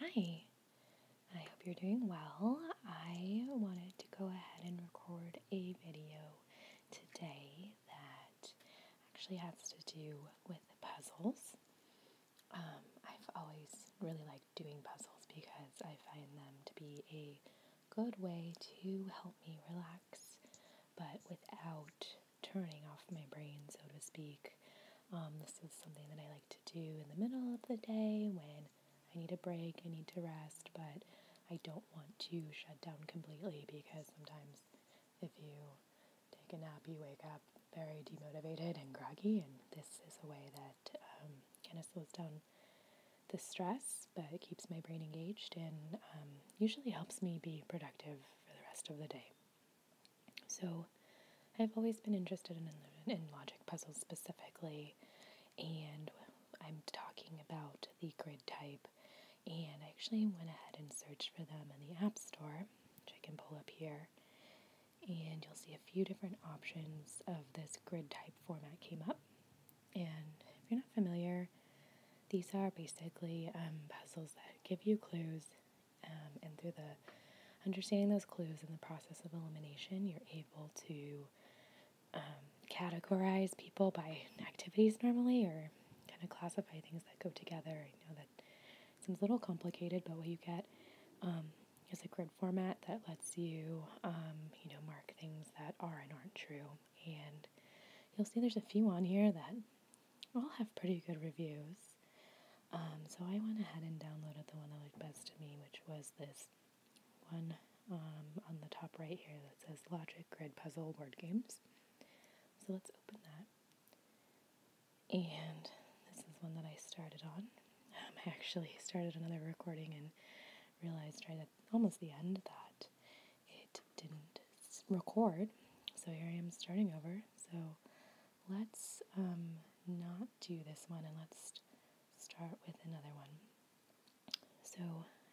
Hi, I hope you're doing well. I wanted to go ahead and record a video today that actually has to do with puzzles. Um, I've always really liked doing puzzles because I find them to be a good way to help me relax, but without turning off my brain, so to speak. Um, this is something that I like to do in the middle of the day when I need a break, I need to rest, but I don't want to shut down completely because sometimes if you take a nap, you wake up very demotivated and groggy, and this is a way that um, kind of slows down the stress, but it keeps my brain engaged and um, usually helps me be productive for the rest of the day. So I've always been interested in, in logic puzzles specifically, and I'm talking about the grid type. And I actually went ahead and searched for them in the App Store, which I can pull up here. And you'll see a few different options of this grid type format came up. And if you're not familiar, these are basically um, puzzles that give you clues um, and through the understanding those clues and the process of elimination, you're able to um, categorize people by activities normally or kind of classify things that go together. I know that seems a little complicated, but what you get um, is a grid format that lets you, you know, mark things that are and aren't true. And you'll see there's a few on here that all have pretty good reviews. Um, so I went ahead and downloaded the one that looked best to me, which was this one um, on the top right here that says Logic Grid Puzzle Word Games. So let's open that. And this is one that I started on. Um, I actually started another recording and realized right at almost the end that it didn't record. So here I am starting over. So let's um, not do this one and let's start with another one. So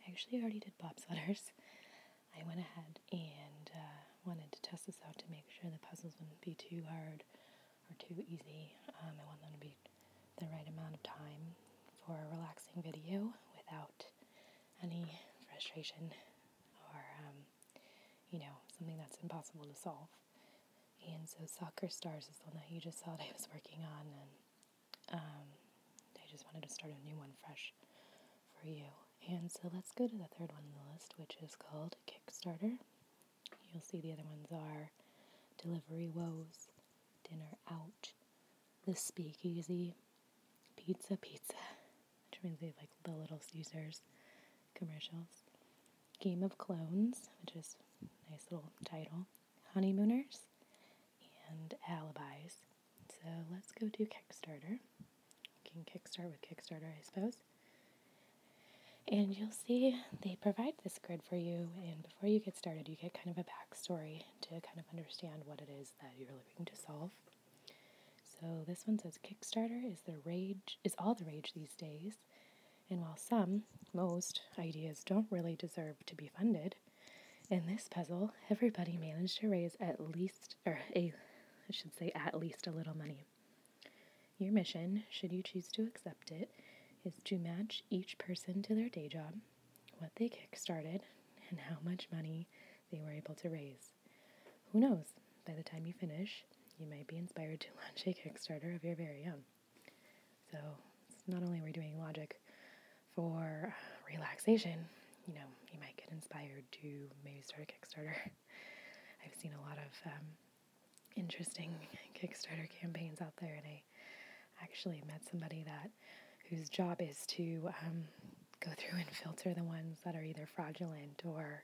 I actually already did bob sweaters. I went ahead and uh, wanted to test this out to make sure the puzzles wouldn't be too hard or too easy. Um, I want them to be the right amount of time for a relaxing video without any frustration or um, you know, something that's impossible to solve. And so Soccer Stars is the one that you just saw that I was working on, and um, I just wanted to start a new one fresh for you. And so let's go to the third one on the list, which is called Kickstarter. You'll see the other ones are Delivery Woes, Dinner Out, The Speakeasy, Pizza Pizza, which means they of like the Little Caesars commercials. Game of Clones, which is a nice little title. Honeymooners and Alibis. So let's go to Kickstarter. You can kickstart with Kickstarter, I suppose. And you'll see they provide this grid for you. And before you get started, you get kind of a backstory to kind of understand what it is that you're looking to solve. So this one says Kickstarter is the rage is all the rage these days. And while some, most ideas don't really deserve to be funded, in this puzzle, everybody managed to raise at least or a I should say at least a little money. Your mission, should you choose to accept it, is to match each person to their day job, what they kickstarted, and how much money they were able to raise who knows, by the time you finish, you might be inspired to launch a Kickstarter of your very own. So, not only we are doing logic for uh, relaxation, you know, you might get inspired to maybe start a Kickstarter. I've seen a lot of um, interesting Kickstarter campaigns out there, and I actually met somebody that whose job is to um, go through and filter the ones that are either fraudulent or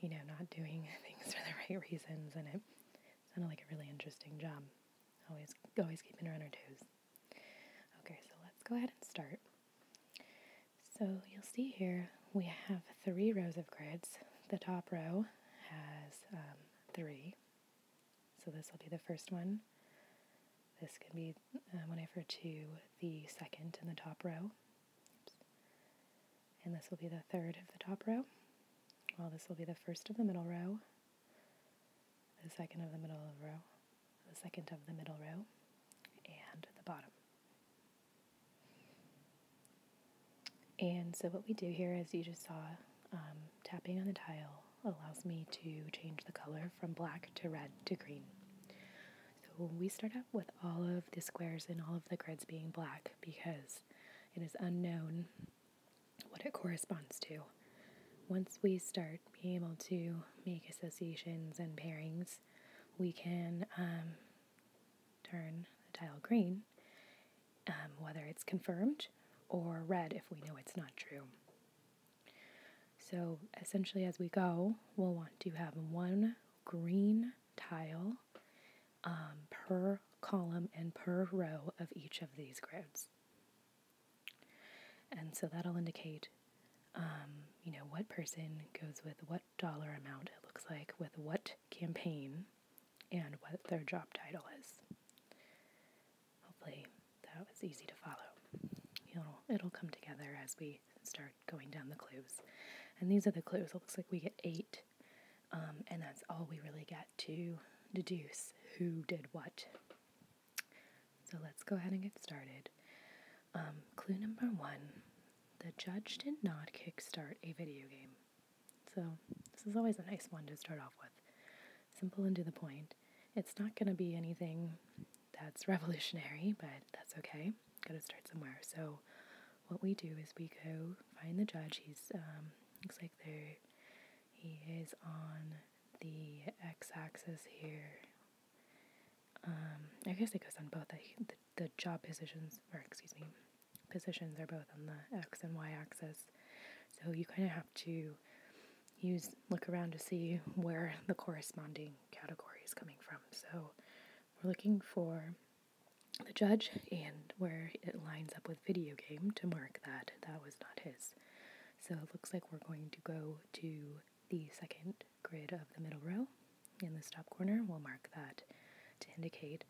you know, not doing things for the right reasons, and it sounded like a really interesting job. Always, always keeping her on her toes. Okay, so let's go ahead and start. So you'll see here we have three rows of grids. The top row has um, three. So this will be the first one. This can be, uh, one, when I refer to the second in the top row, and this will be the third of the top row. Well, this will be the first of the middle row, the second of the middle of the row, the second of the middle row, and the bottom. And so what we do here, as you just saw, um, tapping on the tile allows me to change the color from black to red to green. So we start out with all of the squares and all of the grids being black because it is unknown what it corresponds to. Once we start being able to make associations and pairings, we can um, turn the tile green, um, whether it's confirmed or red if we know it's not true. So essentially, as we go, we'll want to have one green tile um, per column and per row of each of these grids. And so that'll indicate, um, you know, what person goes with what dollar amount it looks like, with what campaign, and what their job title is. Hopefully that was easy to follow. It'll, it'll come together as we start going down the clues. And these are the clues. It looks like we get eight, um, and that's all we really get to deduce who did what. So let's go ahead and get started. Um, clue number one the judge did not kickstart a video game. So this is always a nice one to start off with. Simple and to the point. It's not going to be anything that's revolutionary, but that's okay. Got to start somewhere. So, what we do is we go find the judge. He's um, looks like there. He is on the x-axis here. Um, I guess it goes on both the, the, the job positions, or excuse me, positions are both on the x and y axis. So you kind of have to use look around to see where the corresponding category is coming from. So we're looking for the judge and where it lines up with video game to mark that that was not his. So it looks like we're going to go to the second grid of the middle row. In this top corner, we'll mark that to indicate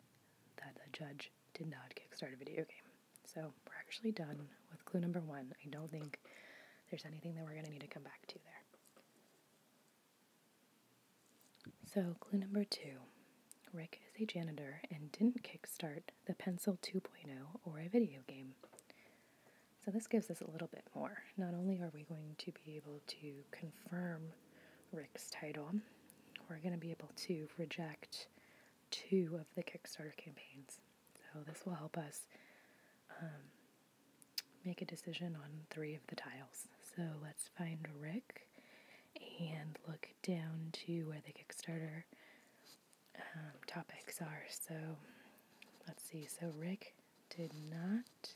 that the judge did not kickstart a video game. So we're actually done with clue number one. I don't think there's anything that we're going to need to come back to there. So, clue number two Rick is a janitor and didn't kickstart the Pencil 2.0 or a video game. So, this gives us a little bit more. Not only are we going to be able to confirm Rick's title, we're going to be able to reject two of the Kickstarter campaigns. So, this will help us um, make a decision on three of the tiles. So let's find Rick and look down to where the Kickstarter um, topics are. So let's see. So Rick did not,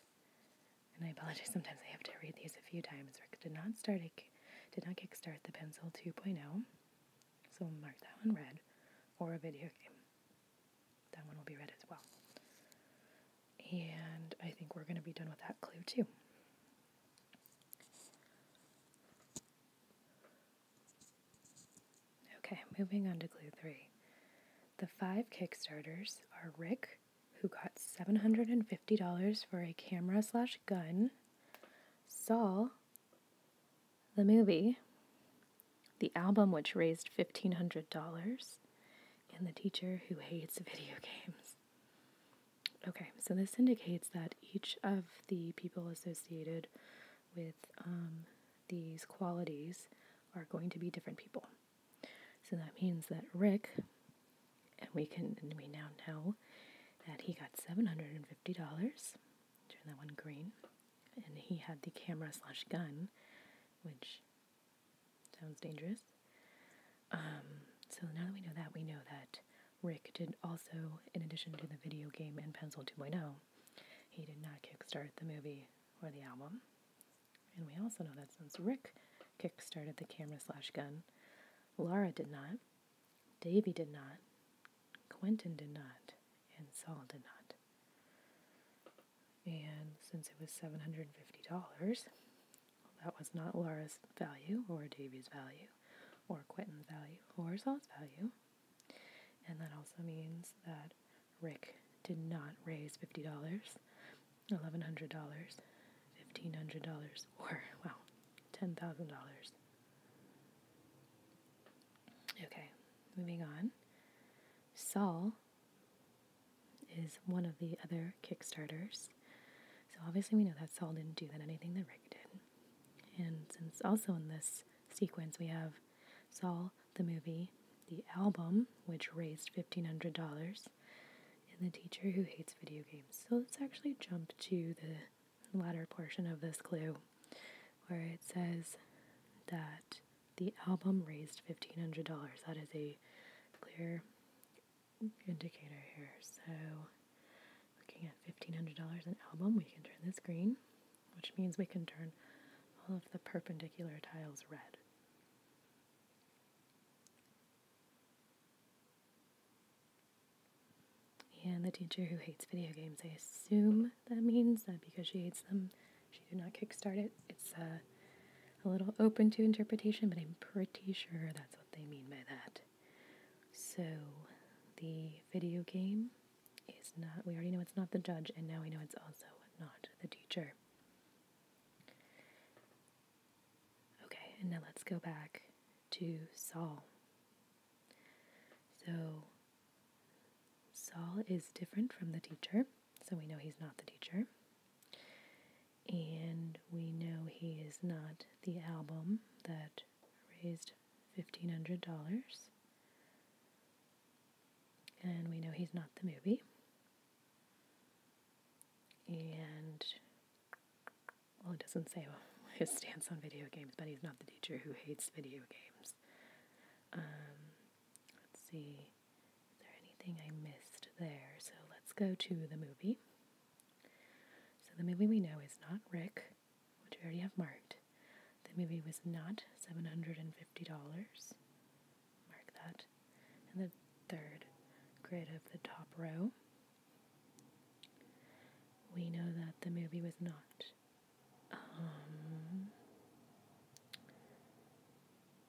and I apologize. Sometimes I have to read these a few times. Rick did not start a, did not kickstart the pencil 2.0. So we'll mark that one red, or a video game. That one will be red as well. And I think we're going to be done with that clue too. Okay, moving on to clue three. The five Kickstarters are Rick, who got $750 for a camera slash gun, Saul, the movie, the album which raised $1,500, and the teacher who hates video games. Okay, so this indicates that each of the people associated with um, these qualities are going to be different people. So that means that Rick, and we can and we now know that he got seven hundred and fifty dollars. Turn that one green, and he had the camera slash gun, which Sounds dangerous. Um, so now that we know that, we know that Rick did also, in addition to the video game and Pencil 2.0, he did not kickstart the movie or the album. And we also know that since Rick kickstarted the camera slash gun, Laura did not, Davy did not, Quentin did not, and Saul did not. And since it was $750, that was not Laura's value, or Davy's value, or Quentin's value, or Saul's value. And that also means that Rick did not raise $50, $1,100, $1,500, or, wow, $10,000. Okay, moving on. Saul is one of the other Kickstarters. So obviously we know that Saul didn't do that anything that Rick did. And since also in this sequence we have Saul the movie, the album which raised $1500 and the teacher who hates video games. So let's actually jump to the latter portion of this clue where it says that the album raised $1,500. That is a clear indicator here. So, looking at $1,500 an album, we can turn this green, which means we can turn all of the perpendicular tiles red. And the teacher who hates video games, I assume that means that because she hates them, she did not kickstart it. It's uh, a little open to interpretation, but I'm pretty sure that's what they mean by that. So, the video game is not, we already know it's not the judge, and now we know it's also not the teacher. Okay, and now let's go back to Saul. So, Saul is different from the teacher so we know he's not the teacher. And we know he is not the album that raised $1,500. And we know he's not the movie. And, well, it doesn't say his stance on video games, but he's not the teacher who hates video games. Um, let's see. Is there anything I missed there? So let's go to the movie. So the movie we know is not Rick, which we already have marked. The movie was not $750. Mark that. And the third grid of the top row. We know that the movie was not um,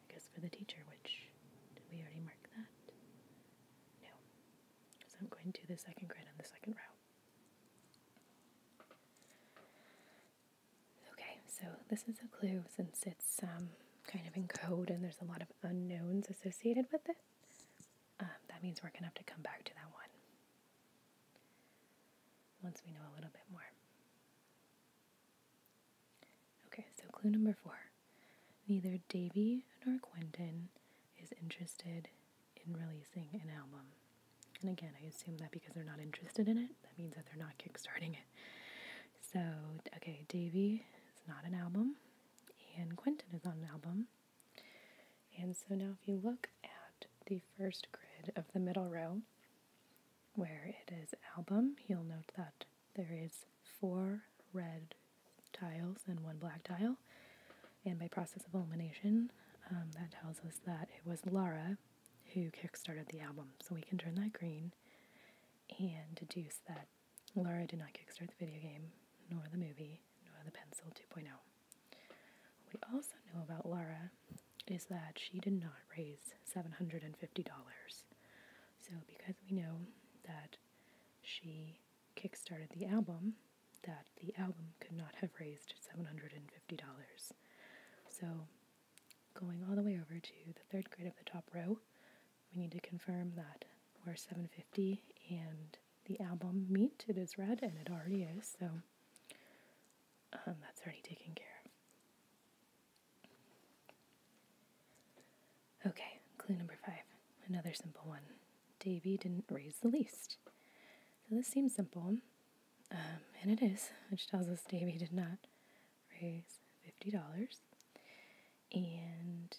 I guess for the teacher, which we already marked that? No. So I'm going to the second grid on the second row. Okay, so this is a clue since it's um, kind of in code and there's a lot of unknowns associated with it. Um, that means we're going to have to come back to that one once we know a little bit more. Okay, so clue number four. Neither Davy nor Quentin is interested in releasing an album. And again, I assume that because they're not interested in it, that means that they're not kickstarting it. So, okay, Davy is not an album, and Quentin is on an album. And so now, if you look at the first grid of the middle row, where it is album, you'll note that there is four red tiles and one black tile. And by process of elimination, um, that tells us that it was Lara who kickstarted the album. So we can turn that green and deduce that Lara did not kickstart the video game, nor the movie, nor the pencil 2.0. we also know about Lara is that she did not raise $750. So, because we know that she kickstarted the album, that the album could not have raised $750. So, going all the way over to the third grade of the top row, we need to confirm that we're 750 and the album meet. It is red and it already is, so um, that's already taken care of. Okay, clue number five. Another simple one. Davy didn't raise the least. So this seems simple, um, and it is, which tells us Davy did not raise $50. And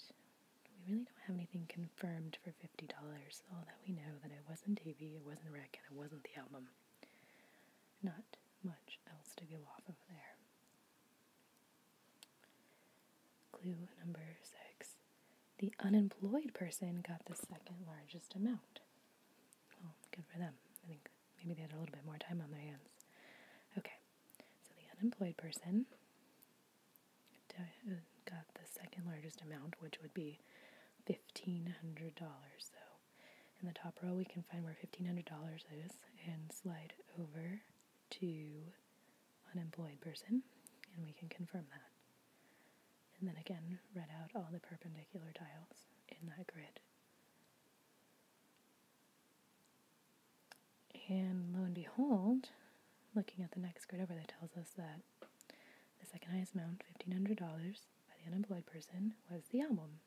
we really don't have anything confirmed for $50. All that we know that it wasn't Davy, it wasn't Rick, and it wasn't the album. Not much else to go off of there. Clue number six the unemployed person got the second largest amount. Well, good for them. I think maybe they had a little bit more time on their hands. Okay, so the unemployed person uh, got the second largest amount, which would be $1,500. So in the top row, we can find where $1,500 is and slide over to unemployed person, and we can confirm that. And then again, read out all the perpendicular tiles in that grid. And lo and behold, looking at the next grid over, that tells us that the second highest amount, $1,500, by the unemployed person was the album.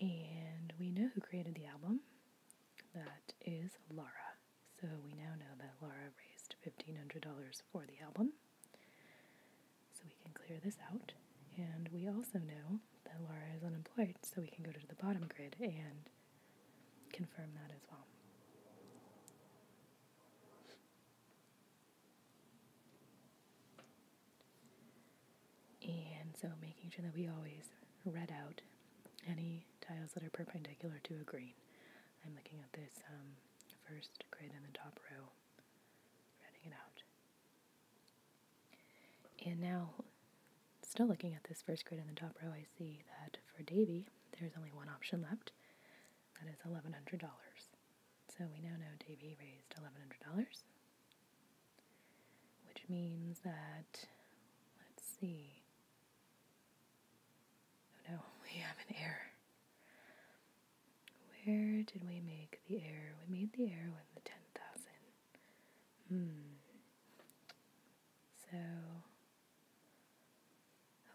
And we know who created the album. That is Lara. So we now know that Lara raised $1,500 for the album. So we can clear this out. And we also know that Lara is unemployed, so we can go to the bottom grid and confirm that as well. And so making sure that we always red out any tiles that are perpendicular to a green. I'm looking at this um, first grid in the top row, reading it out. And now, still looking at this first grid in the top row, I see that for Davy, there's only one option left. That is $1,100. So we now know Davy raised $1,100, which means that, let's see, oh, no, we have an error. Where did we make the error? We made the error with the 10,000. Hmm. So,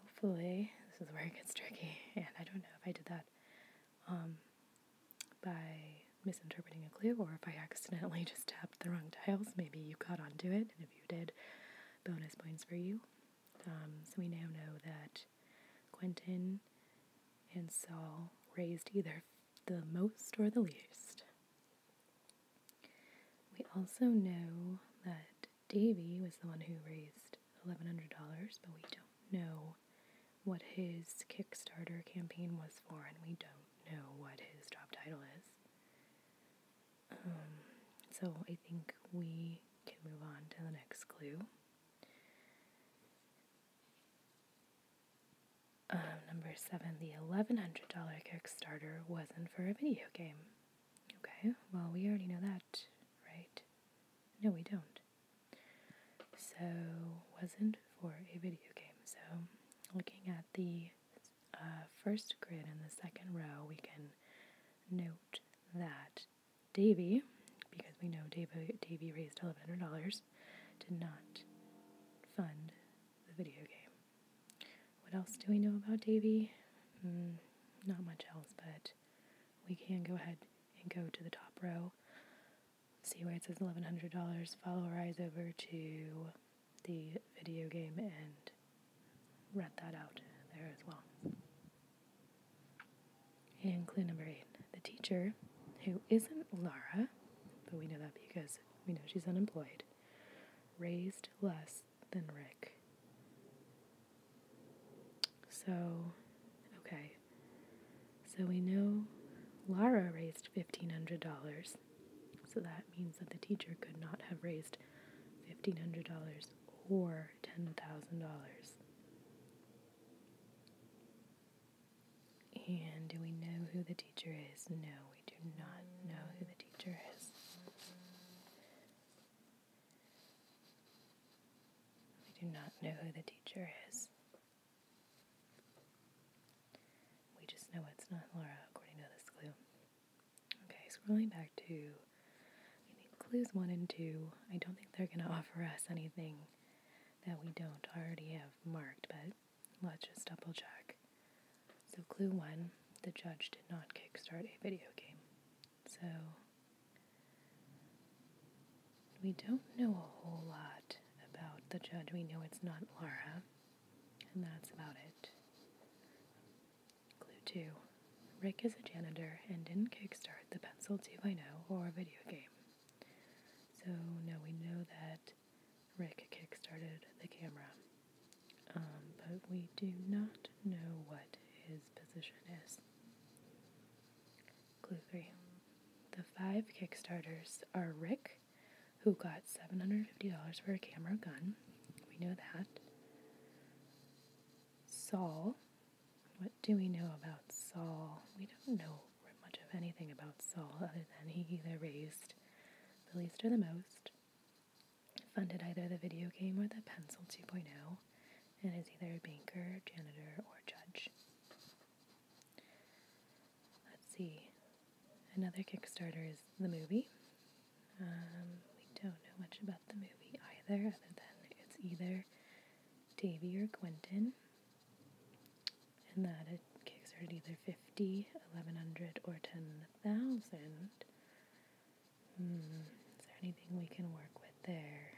hopefully, this is where it gets tricky, and I don't know if I did that um, by misinterpreting a clue, or if I accidentally just tapped the wrong tiles, maybe you caught onto it, and if you did, bonus points for you. Um, so we now know that Quentin and Saul raised either the most or the least. We also know that Davy was the one who raised $1,100, but we don't know what his Kickstarter campaign was for, and we don't know what his job title is. Um, so I think we can move on to the next clue. Um, number seven, the $1,100 Kickstarter wasn't for a video game. Okay, well, we already know that, right? No, we don't. So, wasn't for a video game. So, looking at the uh, first grid in the second row, we can note that Davy, because we know Davy, Davy raised $1,100, did not fund the video game. What else do we know about Davy? Hmm, not much else, but we can go ahead and go to the top row see where it says $1,100, follow our eyes over to the video game and rent that out there as well. And clue number eight the teacher, who isn't Lara, but we know that because we know she's unemployed, raised less than Rick. So, okay, so we know Lara raised $1,500, so that means that the teacher could not have raised $1,500 or $10,000. And do we know who the teacher is? No, we do not know who the teacher is. We do not know who the teacher is. We just know it's not Laura according to this clue. Okay, scrolling back to clues one and two. I don't think they're gonna offer us anything that we don't already have marked, but let's just double check. So clue one, the judge did not kickstart a video game. So we don't know a whole lot about the judge. We know it's not Laura, and that's about it. Clue 2 Rick is a janitor and didn't kickstart the Pencil 2.0 or video game. So now we know that Rick kickstarted the camera. Um, but we do not know what his position is. Gluthy. The five Kickstarters are Rick, who got $750 for a camera gun. We know that. Saul. What do we know about Saul? We don't know much of anything about Saul other than he either raised the least or the most, funded either the video game or the Pencil 2.0, and is either a banker, janitor, or judge. Let's see. Another Kickstarter is the movie. Um, we don't know much about the movie either, other than it's either Davy or Quentin, and that it kickstarted either 50, 1100, or 10,000. Hmm, is there anything we can work with there?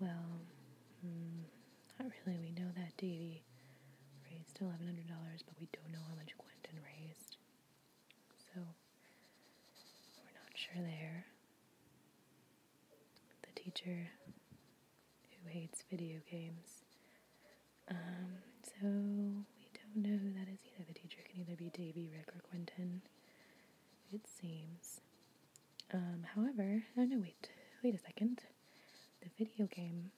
Well, hmm, not really. We know that Davy raised $1,100, but we don't know how much Quentin raised. So, we're not sure there. The teacher who hates video games. Um, so, we don't know who that is either. The teacher can either be Davy, Rick, or Quentin, it seems. Um, however, oh no, wait, wait a second. The video game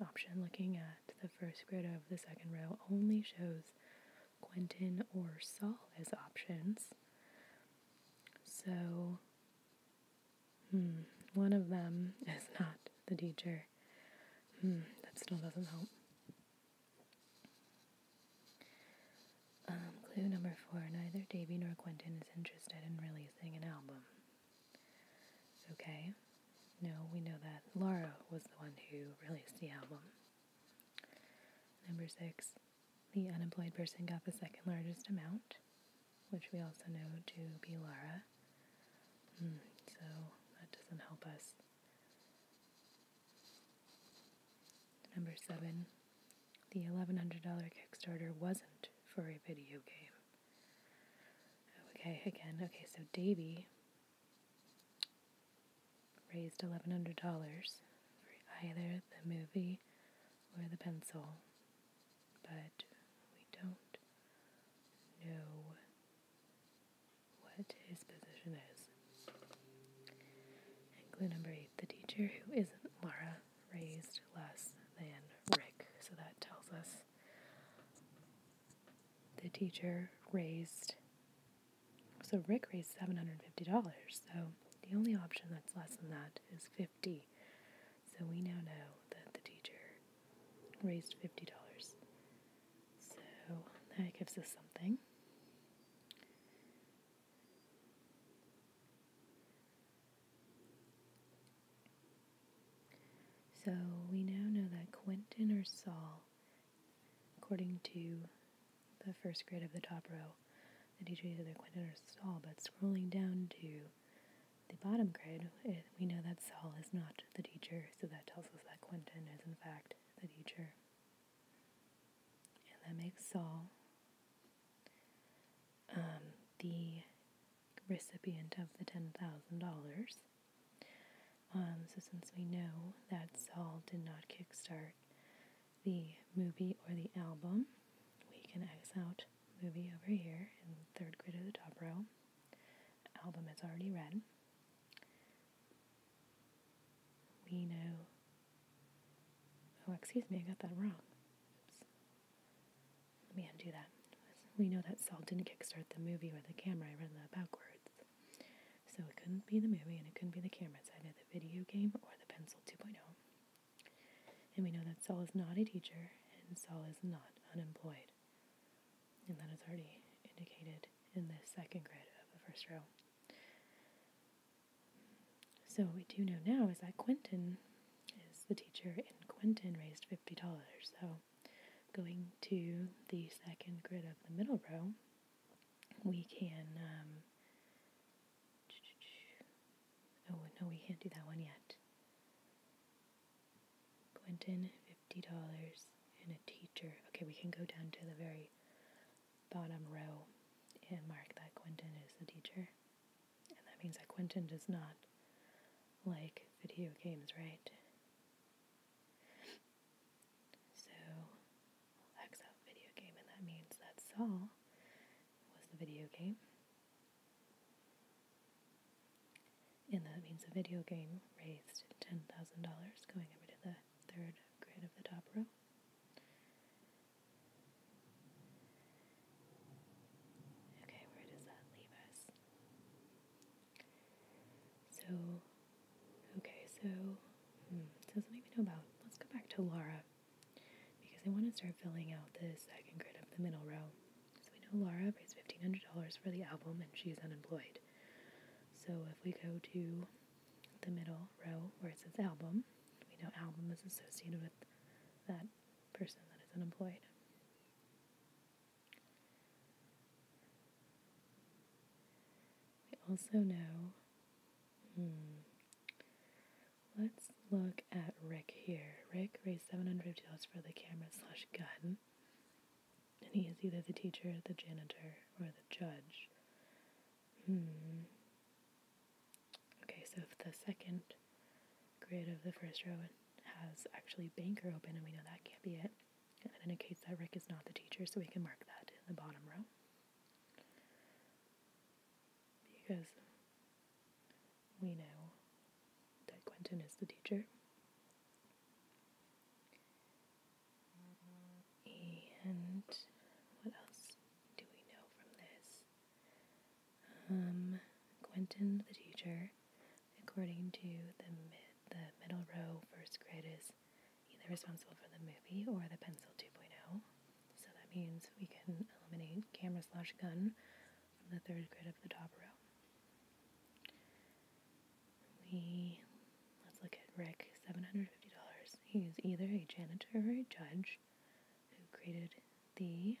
option, looking at the first grid of the second row, only shows Quentin or Saul as options. So, hmm, one of them is not the teacher. Hmm, that still doesn't help. Um, clue number four neither Davy nor Quentin is interested in releasing an album. Okay? No, we know that Laura was the one who released the album. Number six, the unemployed person got the second largest amount, which we also know to be Laura. Hmm, so that doesn't help us. Number seven, the $1,100 Kickstarter wasn't for a video game. Okay, again, okay, so Davy raised $1,100 for either the movie or the pencil, but we don't know what his position is clue number eight the teacher who isn't Laura raised less than Rick. So that tells us the teacher raised, so Rick raised $750. So the only option that's less than that is 50 So we now know that the teacher raised $50. So that gives us something. So we now know that Quentin or Saul, according to the first grade of the top row, that teacher either Quentin or Saul, but scrolling down to the bottom grade, we know that Saul is not the teacher, so that tells us that Quentin is in fact the teacher and that makes Saul um, the recipient of the $10,000. Um, so, since we know that Saul did not kickstart the movie or the album, we can X out movie over here in third grid of the top row. Album is already red we know. Oh, excuse me, I got that wrong. Let me undo that. We know that Saul didn't kickstart the movie or the camera. I read that backwards. So it couldn't be the movie and it couldn't be the camera. It's either the video game or the Pencil 2.0. And we know that Saul is not a teacher and Saul is not unemployed. And that is already indicated in the second grid of the first row. So what we do know now is that Quentin is the teacher, and Quentin raised fifty dollars. So going to the second grid of the middle row, we can. Um, oh no, we can't do that one yet. Quentin, fifty dollars, and a teacher. Okay, we can go down to the very bottom row and mark that Quentin is the teacher. And that means that Quentin does not like video games, right? So X out video game, and that means that Saul was the video game. And that means the video game raised $10,000 going over to the third grid of the top row. Okay, where does that leave us? So, okay, so, hmm, so something know about. Let's go back to Laura because I want to start filling out the second grid of the middle row. So we know Laura pays $1,500 for the album and she's unemployed. So if we go to the middle row where it says album. We know album is associated with that person that is unemployed. We also know, hmm, let's look at Rick here. Rick raised $750 for the camera slash gun, and he is either the teacher, the janitor, or the judge. Hmm. Okay, so if the second grid of the first row has actually banker open and we know that can't be it, and it indicates that Rick is not the teacher, so we can mark that in the bottom row. Because we know that Quentin is the teacher. And what else do we know from this? Um, Quentin the teacher, according to the the middle row first grid is either responsible for the movie or the pencil 2.0. So that means we can eliminate camera slash gun from the third grid of the top row. We Let's look at Rick, $750. He is either a janitor or a judge who created the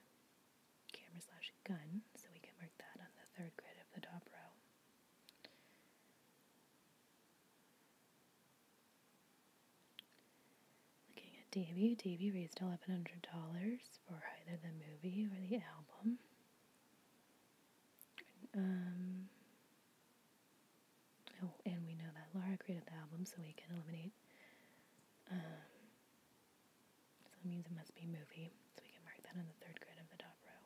camera slash gun, so we can mark that on the third grid of the top row. Looking at Davy, Davy raised $1,100 for either the movie or the album. Um, Oh, and we know that Laura created the album, so we can eliminate. Um, so it means it must be movie, so we can mark that on the third grid of the top row.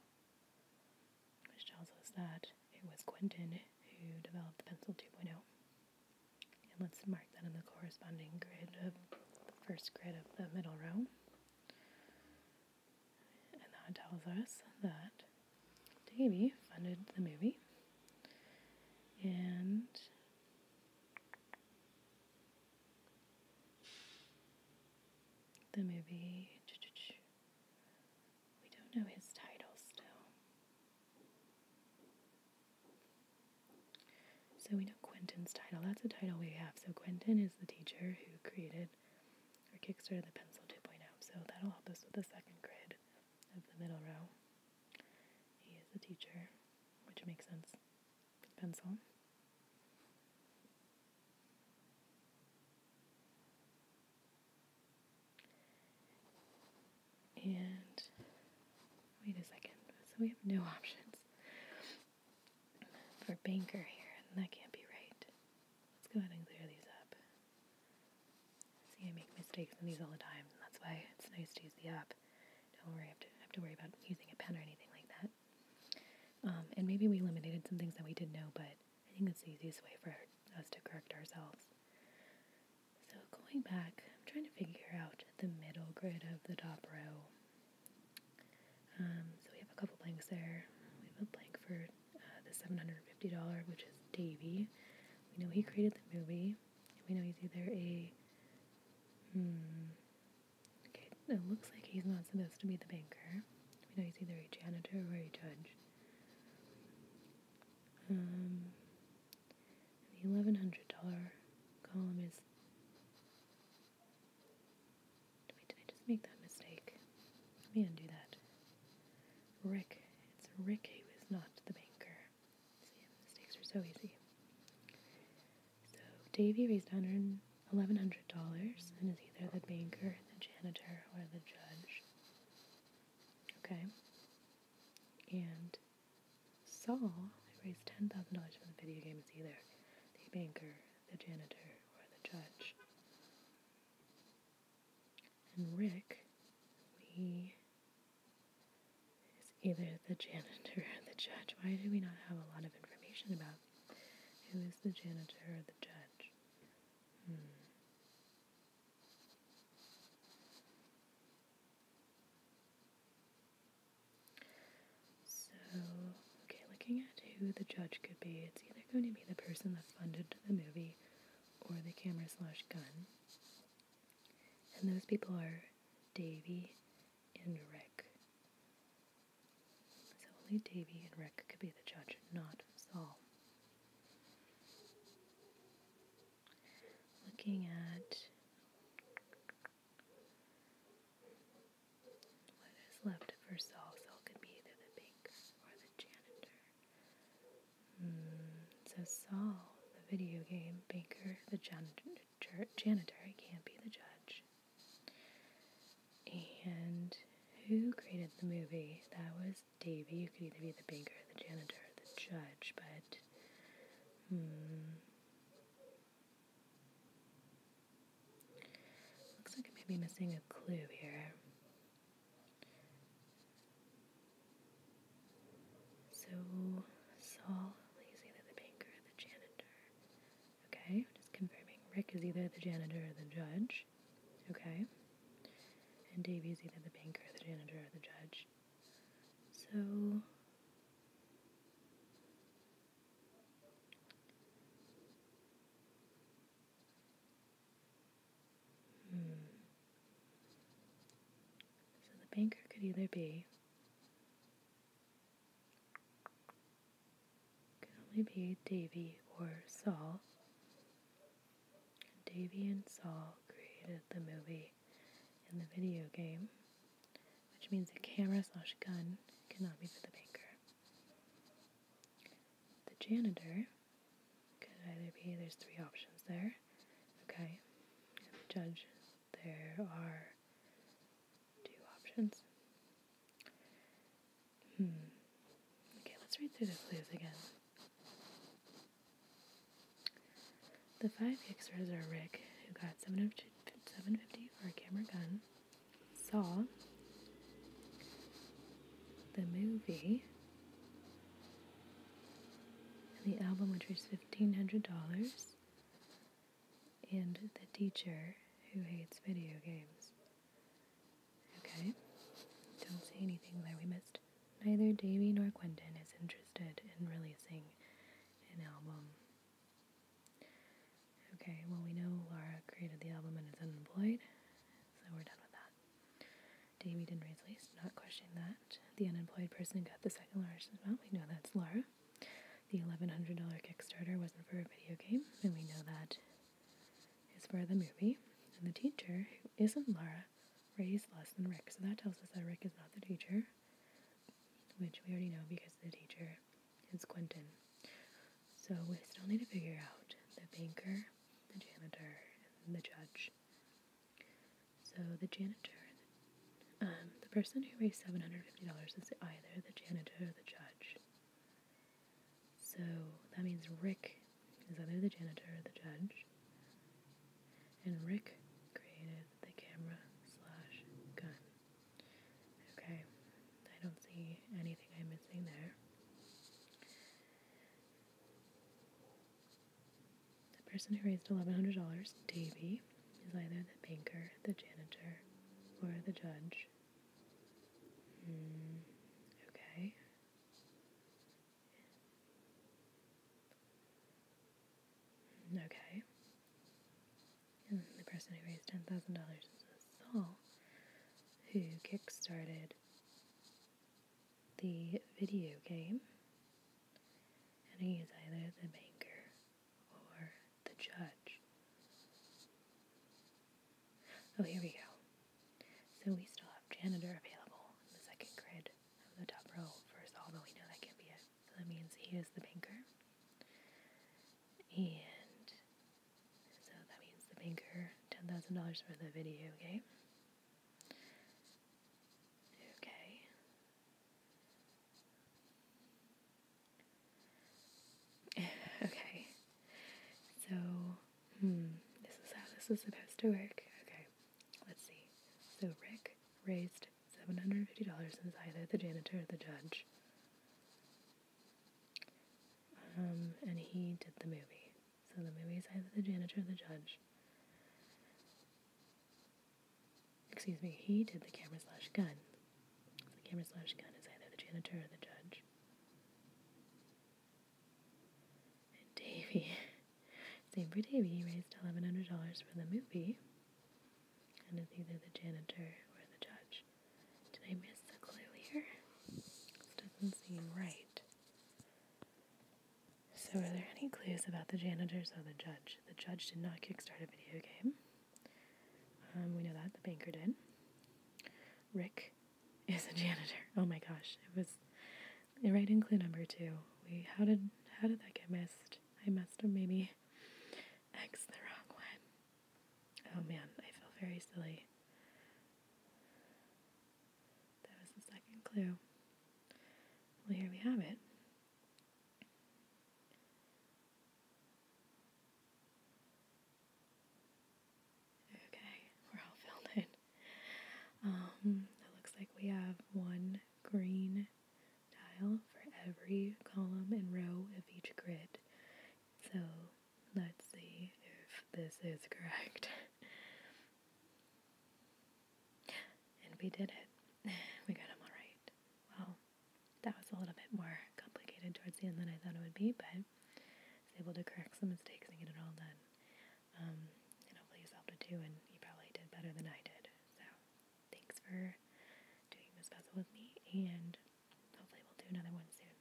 Which tells us that it was Quentin who developed the Pencil 2.0. And let's mark that in the corresponding grid of the first grid of the middle row. And that tells us that Davey funded the movie, and the movie. We don't know his title still. So we know Quentin's title. That's a title we have. So Quentin is the teacher who created or kickstarted the Pencil 2.0. So that'll help us with the second grid of the middle row. He is a teacher, which makes sense with pencil. And wait a second, so we have no options for banker here, and that can't be right. Let's go ahead and clear these up. See, I make mistakes in these all the time, that's why it's nice to use the app. Don't worry, I have to, have to worry about using a pen or anything like that. Um, and maybe we eliminated some things that we didn't know, but I think that's the easiest way for us to correct ourselves. So going back, I'm trying to figure out the middle grid of the top row. Um, so we have a couple blanks there. We have a blank for uh, the $750, which is Davey. We know he created the movie. We know he's either a. Hmm, okay, it looks like he's not supposed to be the banker. We know he's either a janitor or a judge. Um, the $1,100 column is. Wait, did I just make that mistake? Let me undo that. Rick. It's Rick who is not the banker. See, the stakes are so easy. So Davy raised $1,100 and is either the banker, the janitor, or the judge. Okay? And Saul, who raised $10,000 from the video games. either the banker, the janitor, or the judge. And Rick, we is either the janitor or the judge. Why do we not have a lot of information about who is the janitor or the judge? Hmm. So, okay, looking at who the judge could be, it's either going to be the person that funded the movie or the camera slash gun. And those people are Davy and Rick. So only Davy and Rick could be the judge, not Saul. Looking at what is left for Saul, Saul could be either the banker or the janitor. Mm, so Saul, the video game, banker, the janitor, janitor, can't be the judge. And who created the movie? That was Davey. You could either be the banker, the janitor, the judge, but. Hmm. Looks like I may be missing a clue here. So Saul is either the banker or the janitor. Okay, just confirming. Rick is either the janitor or the judge. Okay. And Davy is either the banker, or the janitor, or the judge. So Hmm. So the banker could either be. Could only be Davy or Saul. Davy and Saul created the movie and the video game, which means a camera slash gun cannot be for the banker. The janitor could either be, there's three options there. Okay, and the judge, there are two options. Hmm. Okay, let's read through the clues again. The five Hicksters are Rick, who got 750 for a camera gun, Saw, the movie, and the album, which was $1,500, and The Teacher Who Hates Video Games. Okay, don't see anything there we missed. Neither Davy nor Quentin is interested in releasing an album. Okay, well, we know Laura created the album and is unemployed, so we're done with that. Davy didn't raise least, not questioning that. The unemployed person got the second largest amount. We know that's Laura. The $1,100 Kickstarter wasn't for a video game, and we know that is for the movie. And the teacher, who isn't Laura, raised less than Rick. So that tells us that Rick is not the teacher, which we already know because the teacher is Quentin. So we still need to figure out the banker the janitor, and the judge. So the janitor, um, the person who raised $750 is either the janitor or the judge. So that means Rick is either the janitor or the judge. And Rick created the camera slash gun. Okay, I don't see anything I'm missing there. The person who raised $1,100, Davy, is either the banker, the janitor, or the judge. Hmm, okay. Hmm, okay. the person who raised $10,000 is Saul, who kick started the video game, and he is either the banker or the judge. Oh, here we go. So we still have janitor available in the second grid of the top row first, all, we know that can't be it. So that means he is the banker. And so that means the banker $10,000 for the video game. Okay. okay. So, hmm, this is how this is supposed to work. Okay, let's see. So Rick raised $750 and either the janitor or the judge. Um, and he did the movie. So the movie is either the janitor or the judge. Excuse me, he did the camera slash gun. The camera slash gun is either the janitor or the judge. And Davy, same for Davy, He raised $1,100 for the movie. And it's either the janitor or the judge. Did I miss the clue here? doesn't seem right. So, are there any clues about the janitors or the judge? The judge did not kickstart a video game. Um, we know that. The banker did. Rick is a janitor. Oh my gosh, it was right in clue number two. We how did how did that get missed? I must have maybe X the wrong one. Oh man, I feel very silly. That was the second clue. Well, here we have it. Okay, we're all filled in. Um, it looks like we have one green tile for every column and row of each grid. So Let's see if this is correct. and we did it. We got them all right. Well, that was a little bit more complicated towards the end than I thought it would be, but I was able to correct some mistakes and get it all done. Um, and hopefully you solved it too, and you probably did better than I did. So, thanks for doing this puzzle with me, and hopefully we'll do another one soon.